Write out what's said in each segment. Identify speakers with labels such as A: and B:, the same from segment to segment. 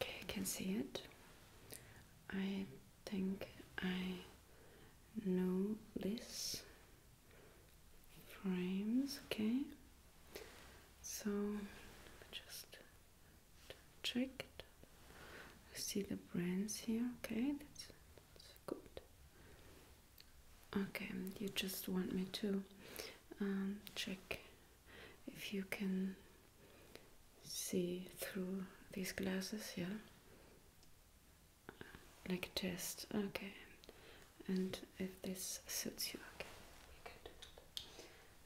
A: Okay, I can see it. I think I know this frames, okay. So just check see the brands here, okay, that's, good. Okay, you just want me to um, check if you can see through these glasses, yeah? Like a test, okay. And if this suits you, okay,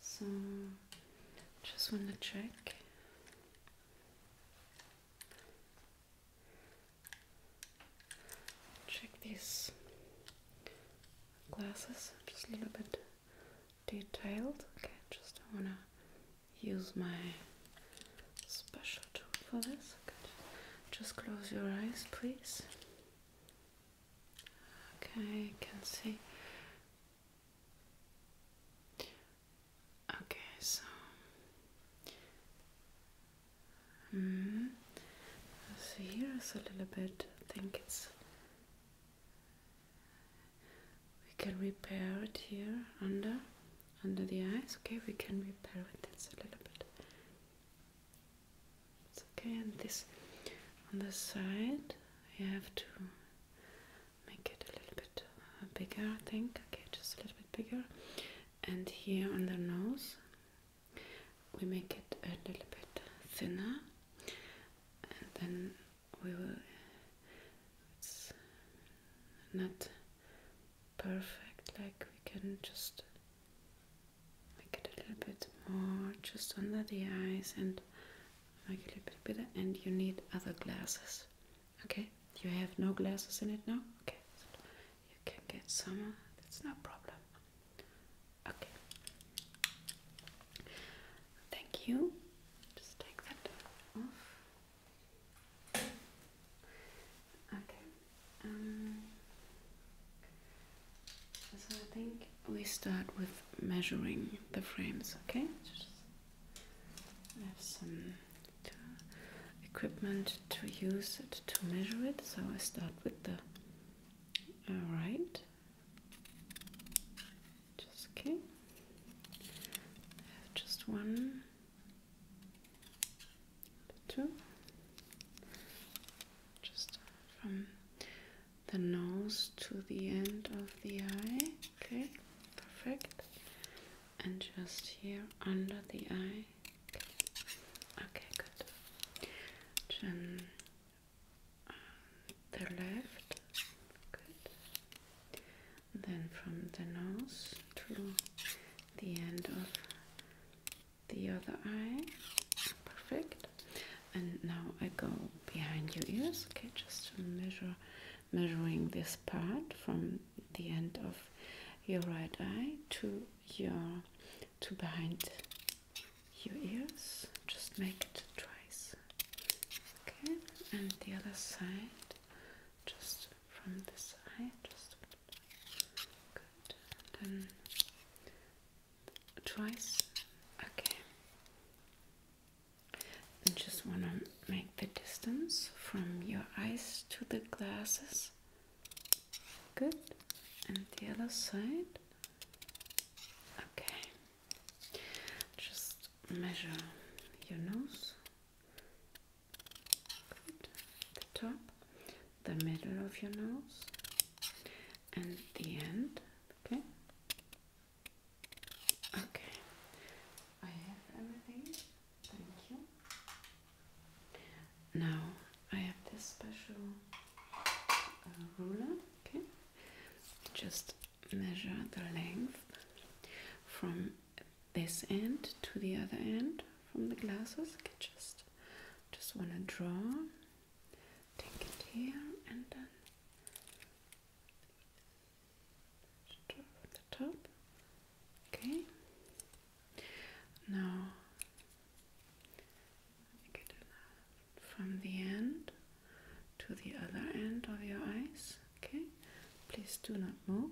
A: So, just want to check. Check these glasses, just a little bit detailed. Okay, just don't wanna use my special tool for this. Okay. Just close your eyes, please. Okay, I can see. Okay, so. -hmm. here is a little bit, I think it's we can repair it here under under the eyes okay we can repair with this a little bit it's okay and this on the side you have to make it a little bit uh, bigger I think okay just a little bit bigger and here on the nose we make it a little bit thinner and then we will it's not perfect like we can just make it a little bit more just under the eyes and make it a little bit better and you need other glasses okay you have no glasses in it now okay you can get some that's no problem Okay. Thank you. Just take that off. Okay. Um, so I think we start with measuring the frames. Okay. I have some uh, equipment to use it to measure it, so I start with the uh, right just okay. just one, two, just from the nose to the end of the eye. Okay, perfect. And just here under the eye. okay good. Then the left, good. Then from the nose to the end of the other eye, perfect. And now I go behind your ears, okay, just to measure, measuring this part from the end of your right eye to your to behind your ears. Just make it twice. Okay, and the other side, just from this side, just good. then twice. Okay. And just want to make the distance from your eyes to the glasses. Good. And the other side. Okay. Just measure your nose. The top, the middle of your nose, and the end. Okay. Okay. I have everything. Thank you. Now I have this special uh, ruler, okay? Just measure the length from this end to the other end from the glasses. Okay, just just wanna draw, take it here and then draw from the top. Okay. Now from the end to the other end of your eyes. Okay, please do not move.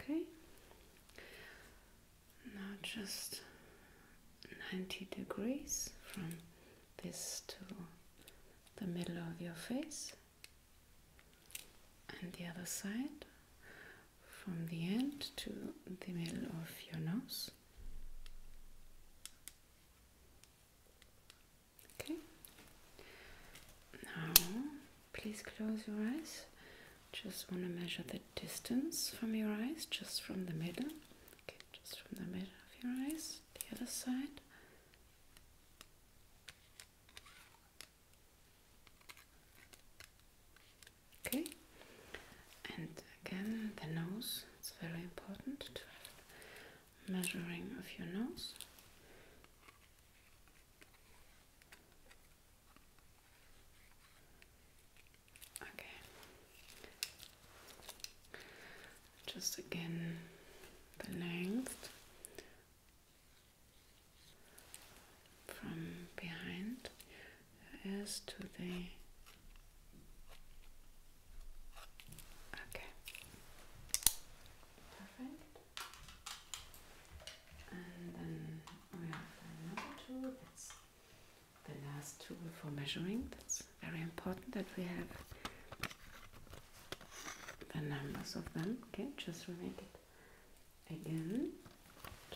A: Okay, now just 90 degrees from this to the middle of your face and the other side from the end to the middle of your nose. Okay, now please close your eyes. Just want to measure the distance from your eyes, just from the middle. Okay, just from the middle of your eyes, the other side. Okay, and again the nose. It's very important to have measuring of your nose. Okay, just again the length from behind as to the okay perfect and then we have another tool that's the last tool for measuring that's very important that we have the numbers of them. Okay, just repeat it again.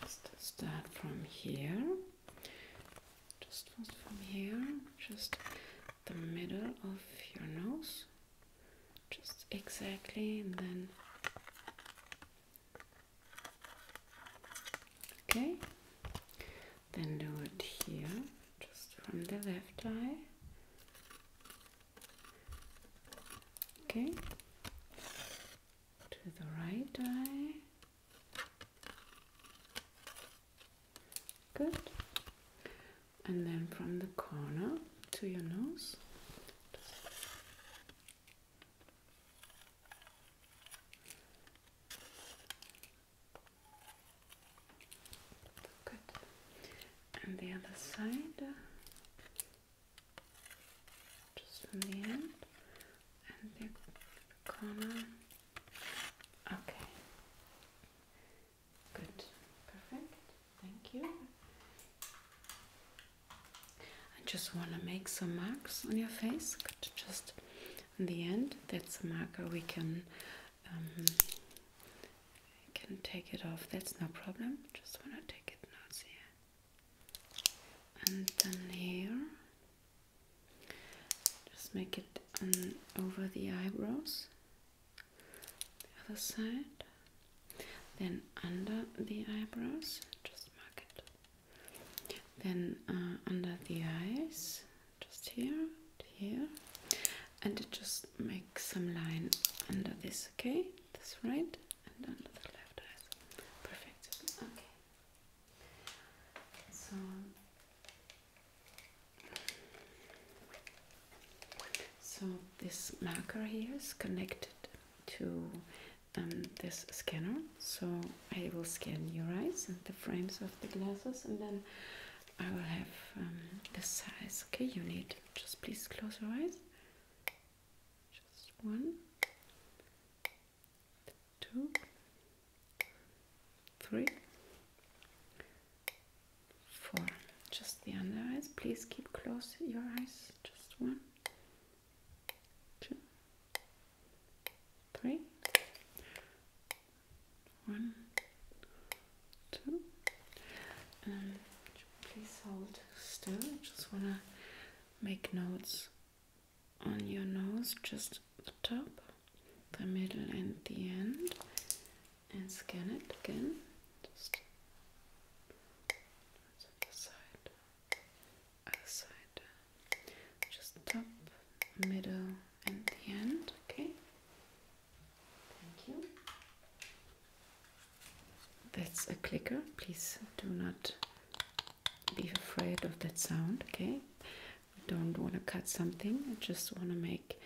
A: Just start from here, just from here, just the middle of your nose, just exactly, and then okay, then do it here just from the left eye. Okay, to the right eye. Good, and then from the corner to your nose. Good. And the other side, just on the end and the corner. Okay. Good. Perfect. Thank you. I just want to make some marks on your face. Just on the end, that's a marker we can um, I can take it off, that's no problem. Just wanna take it notes here. And then here. Just make it over the eyebrows. The other side. Then under the eyebrows, just mark it. Then uh, under the eyes just here here and it just makes some line under this okay this right and under the left eyes perfect okay so so this marker here is connected to um, this scanner so I will scan your eyes and the frames of the glasses and then I will have um, the size. Okay, you need just please close your eyes. Just one, two, three, four. Just the under eyes. Please keep close your eyes. Just one, two, three, one, two. Um, please hold still. just want to make notes on your nose, just the top, the middle, and the end, and scan it again. Just other side, other side, just top, middle, and the end. Okay, Thank you. That's a clicker. Please do not be afraid of that sound, okay? We don't want to cut something. I just want to make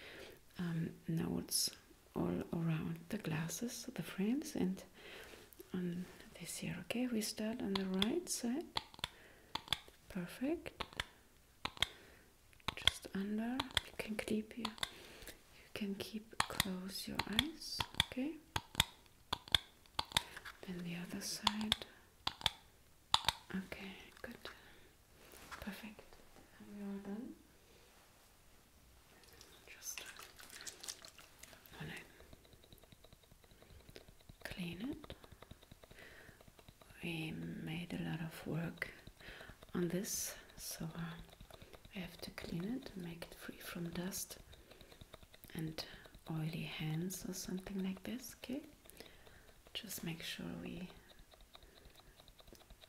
A: um, notes all around the glasses, the frames, and on this here, okay? We start on the right side. Perfect just under. You can keep you, you can keep close your eyes, okay? Then the other side. Okay, good, perfect. we are done. Just wanna clean it we made a lot of work on this so uh, I have to clean it and make it free from dust and oily hands or something like this okay just make sure we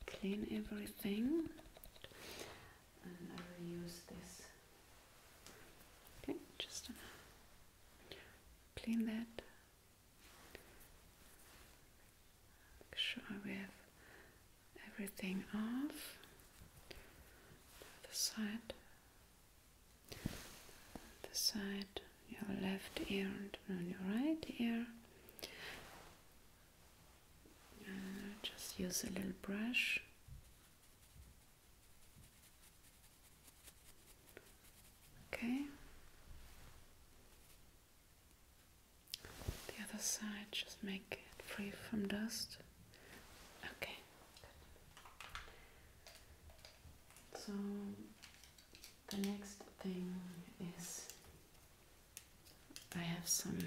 A: clean everything and I will use this okay just uh, clean that Make sure we have everything off. The side, the side, your left ear and on your right ear. just use a little brush. Okay. The other side, just make it free from dust. Okay. So the next thing is I have some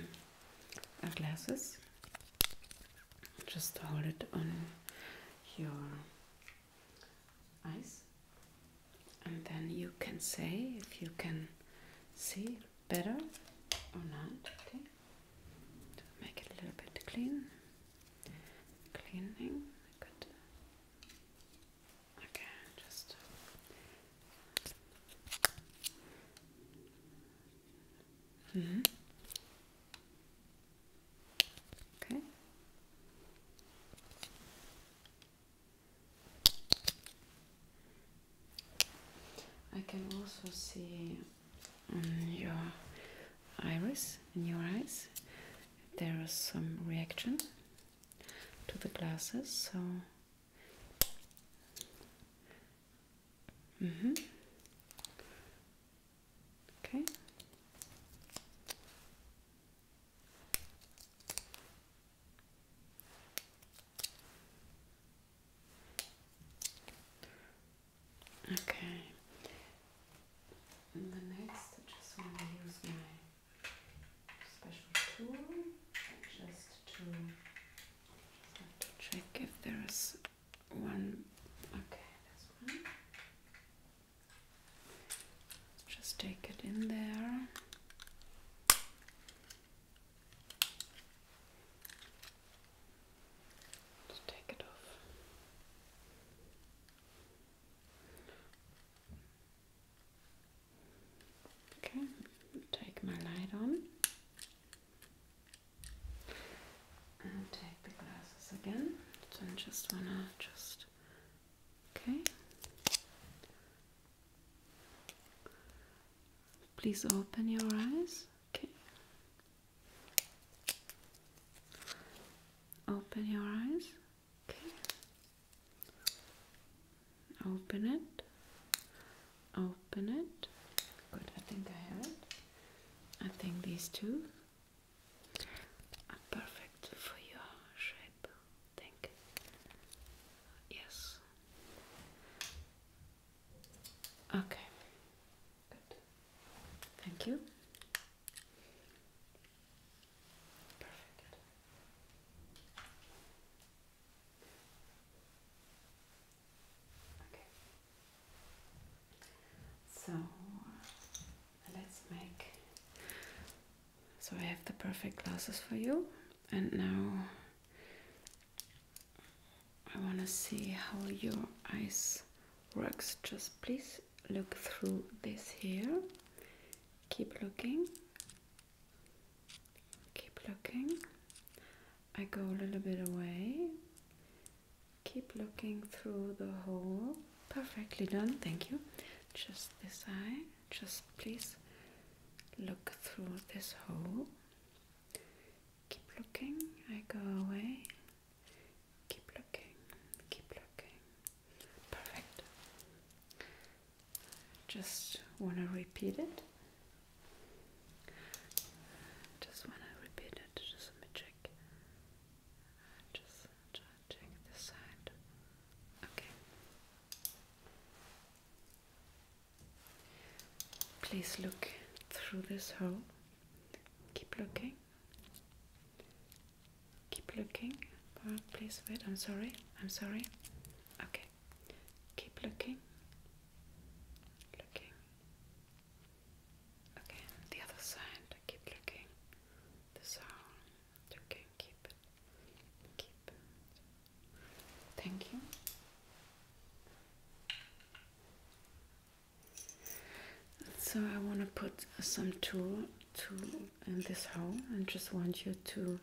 A: glasses. Just hold it on your eyes, and then you can say if you can see better or not. make it a little bit clean, cleaning. Good. Okay, just. Mm -hmm. Okay. I can also see on um, your iris, in your eyes, there is some reaction to the glasses, so. Mm -hmm. Okay. Okay. And the next, I just want to use my special tool just to, check if there is one. Okay, that's one. Just take it in there. Just take it off. Okay, take my light on and take the glasses again. So I just wanna just Okay. Please open your eyes. Okay. Open your eyes. Okay. Open it. Open it. Good, I think I have it. I think these two perfect for your shape, I think. Yes. Okay. Good. Thank you. So let's make so I have the perfect glasses for you and now I want to see how your eyes works just please look through this here keep looking keep looking I go a little bit away keep looking through the hole. Perfectly done, thank you. Just this eye, just please look through this hole. Keep looking, I go away. Keep looking, keep looking. Perfect. Just want to repeat it. Just want to repeat it. Just let me check. Just check this side. Okay. Please look through this hole. Keep looking. Keep looking. Oh, please wait. I'm sorry. I'm sorry. Okay. Keep looking. Looking. Okay, the other side, keep looking. The sound, looking, keep it, keep it. Thank you. So I want to put some tool to in this hole, and just want you to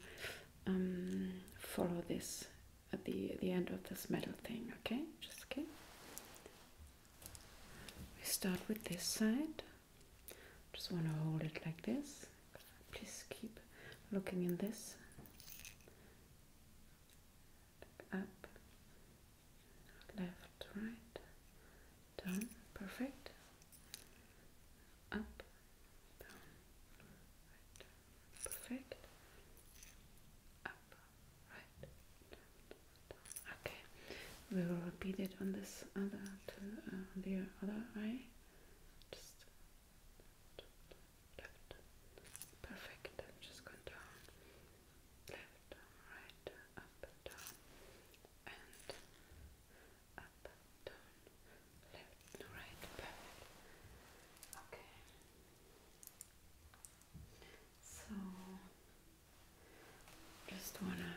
A: um, follow this at the the end of this metal thing. Okay, just okay. We start with this side. Just want to hold it like this. Please keep looking in this. Up, left, right, down, perfect. Up, down, right, perfect. Up, right okay we will repeat it on this other to uh, the other eye just left perfect i just go down left right up down and up down left right perfect okay so just wanna.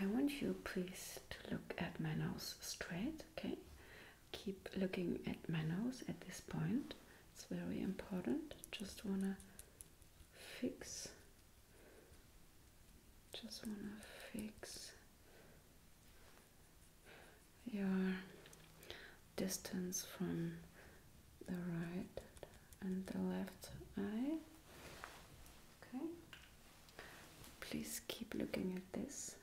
A: I want you please to look at my nose straight, okay? Keep looking at my nose at this point, it's very important. Just wanna fix, just wanna fix your distance from the right and the left eye. Okay. Please keep looking at this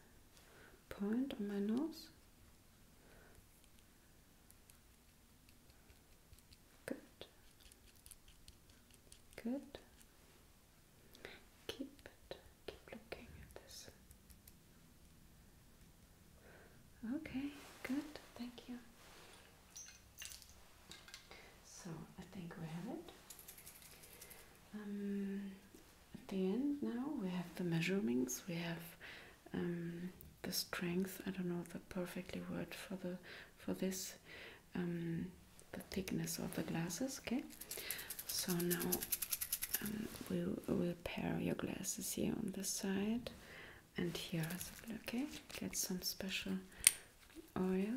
A: point on my nose. Good. Good. Keep it. Keep looking at this. Okay, good, thank you. So I think we have it. Um, at the end now we have the measurements, we have um, the strength, I don't know the perfectly word for the for this um, the thickness of the glasses, okay? So now we will we'll pair your glasses here on the side and here as well. Okay, get some special oil.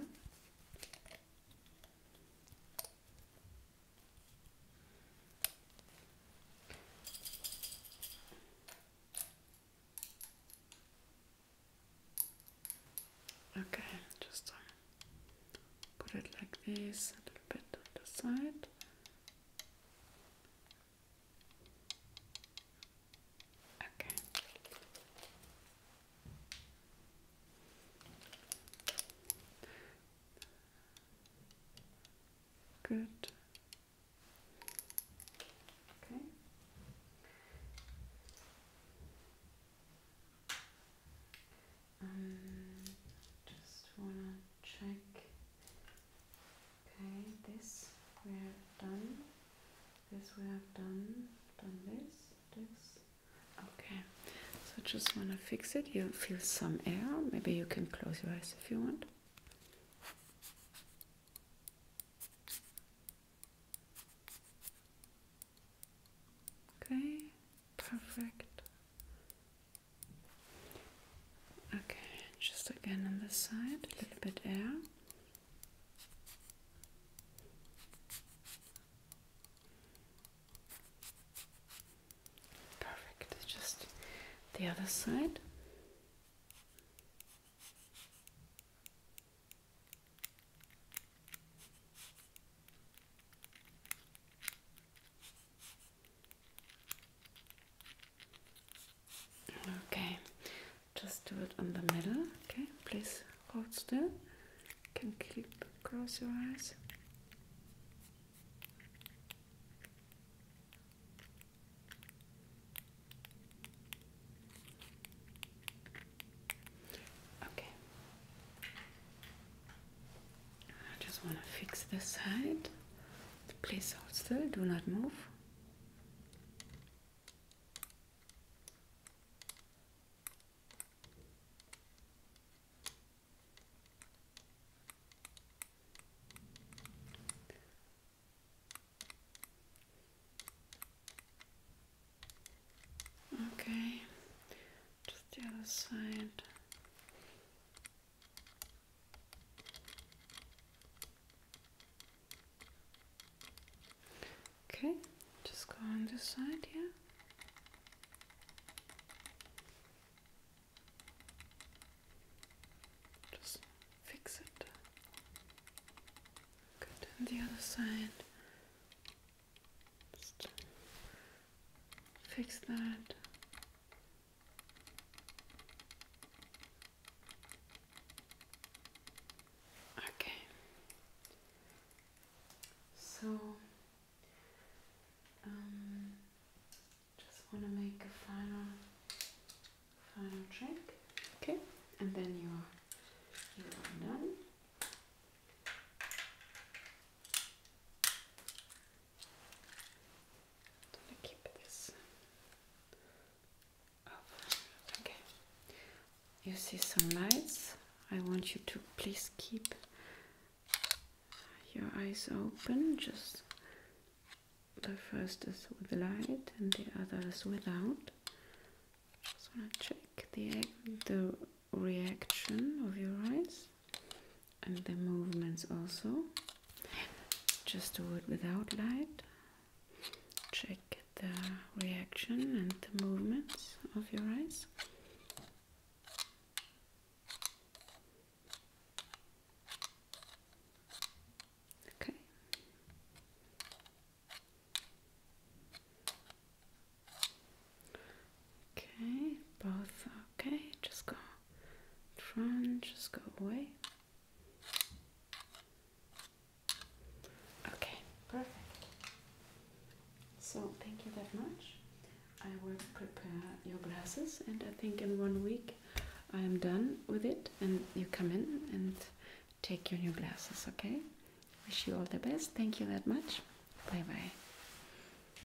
A: Okay, just uh, put it like this, a little bit on the side. Okay. Good. Okay. Um, just wanna check Okay, this we have done. This we have done. Done this. This. Okay. So just wanna fix it. You feel some air. Maybe you can close your eyes if you want. Okay, perfect. Okay, just again on this side, a little bit there. Perfect, just the other side. Okay, just do it in the middle. Okay, please hold still. You can keep close your eyes. Okay. I just want to fix the side. Please hold still, do not move. Okay, just the other side. Okay, just go on this side here. Just fix it. Good, the other side. Just fix that. Okay. So um just want to make a final final check. Okay. And then you are you are done. You see some lights. I want you to please keep your eyes open, just the first is with light and the other is without. Just want to check the, the reaction of your eyes and the movements also. Just do it without light. Check the reaction and the movements of your eyes. Okay. Okay, both. Okay, just go front, just go away. Okay, perfect. So, thank you that much. I will prepare your glasses, and I think in one week I am done with it. And you come in and take your new glasses, okay? Wish you all the best. Thank you that much. Bye bye.